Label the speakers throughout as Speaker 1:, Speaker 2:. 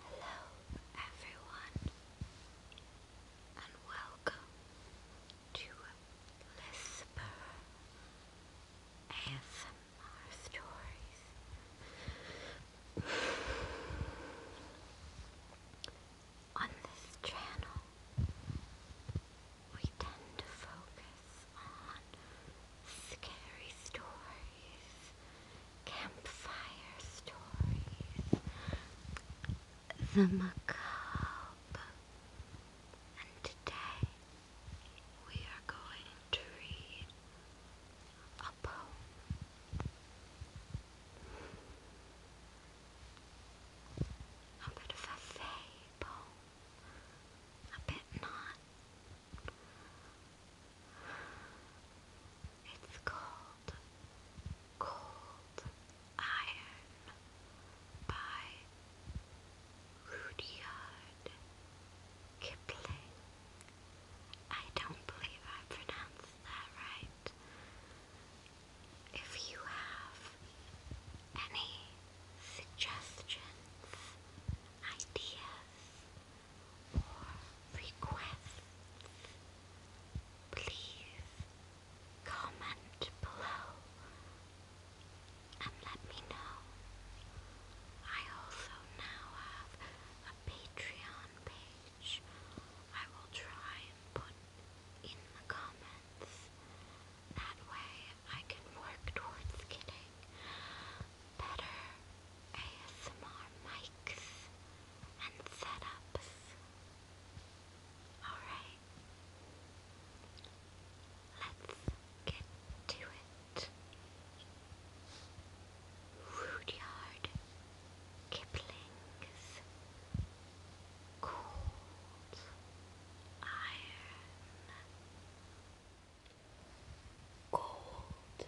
Speaker 1: Hello, everyone, and welcome to Lisper ASMR Stories. On this channel, we tend to focus on scary stories, campfire stories, the macabre. And today we are going to read a poem. A bit of a fable. A bit not. It's called Cold Iron by Rudyard Kipling. I don't believe I pronounced that right. If you have any suggestions, ideas, or requests, please comment below and let me know. I also now have a Patreon page. I will try and put in the comments. That way I can work towards getting better ASMR mics and setups. Alright, let's get to it. Rudyard Kipling's Cold Iron. Cold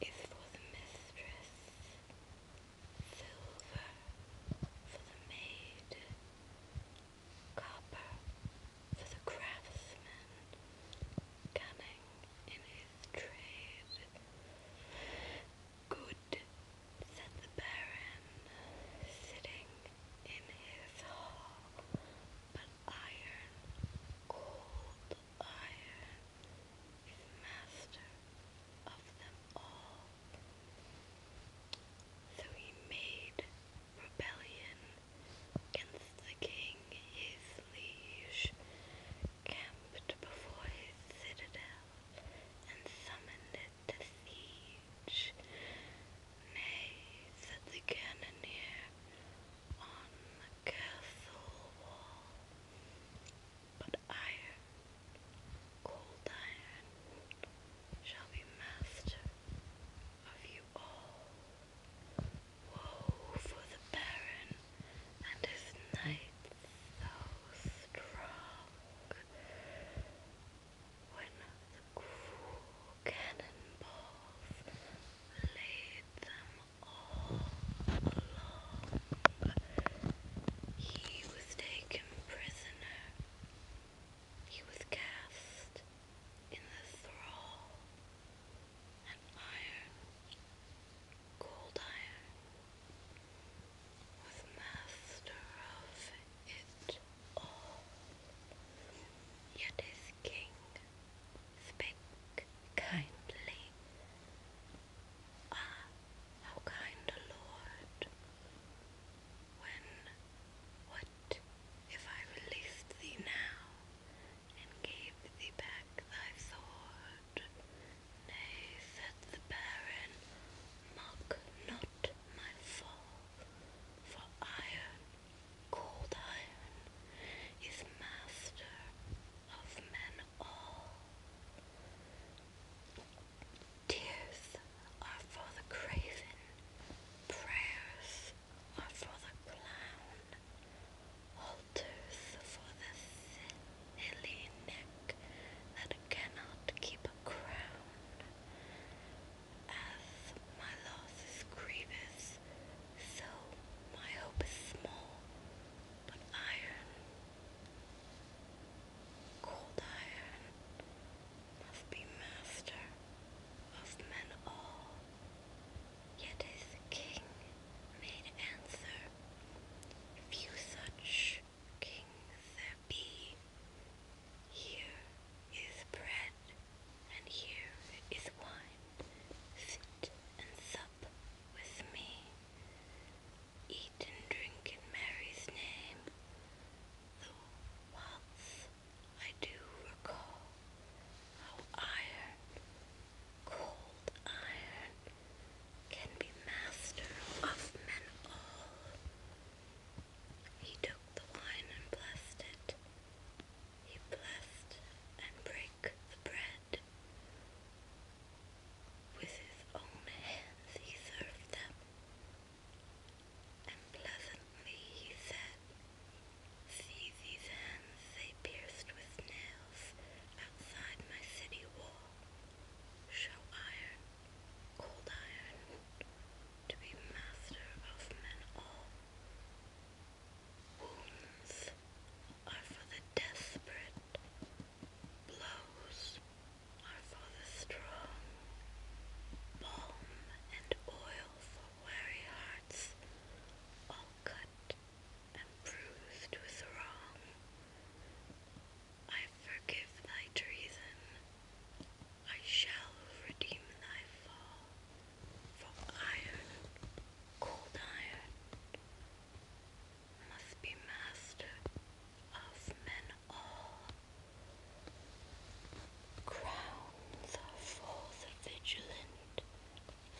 Speaker 1: is for the mistress, silver for the maid, copper for the craftsman, cunning in his trade, Good, said the Baron, sitting in his hall, but iron, cold iron, is master of them all. So he made rebellion against the king his liege, camped before his citadel and summoned it to siege. Nay, said the cannoneer, on the castle wall. But iron, cold iron, shall be master of you all. Woe for the baron and his knights so strong when the cruel cannonballs laid them all along. He was taken prisoner. He was cast in the thrall and iron cold iron with master of it all. Yet his king spake kindly. Ah, how kind a lord! When, what if I released thee now, and gave thee back thy sword. Nay, said the baron, mock not my fall, for iron, cold iron, is master of men all. Tears are for the craven, prayers are for the clown, whole tooth for the silly neck that cannot keep a crown. As my loss is grievous, so my hope is small, but iron, cold iron, must be master of men all. Yet as the king made answer, Few such kings there be. Here is bread, and here is wine. Sit and sup with me. Eat and drink in Mary's name. The waltz I do recall how iron, cold iron, can be master of men all. He took the wine and blessed it. He blessed and brake the bread. With his own hands he served them. And pleasantly he said, See these hands they pierced with nails outside my city wall. Show iron, cold iron, to be master of men all. Wounds are for the desperate, blows are for the strong, balm and oil weary hearts, all cut and bruised with wrong. I forgive thy treason, I shall redeem thy fall, for iron, cold iron, must be master of men all. Crown for the vigilant,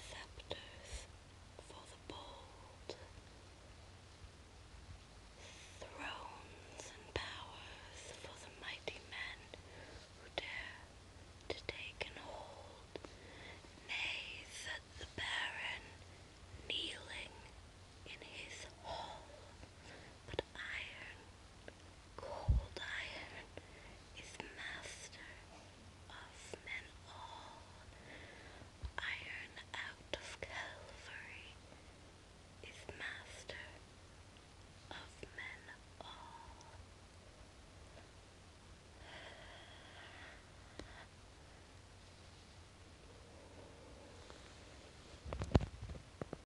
Speaker 1: scepters for the bold. Thrones and powers for the mighty men who dare to take and hold. Nay, said the Baron, kneeling in his hall, but iron, cold iron is master of men all. Iron out of Calvary is master of men all.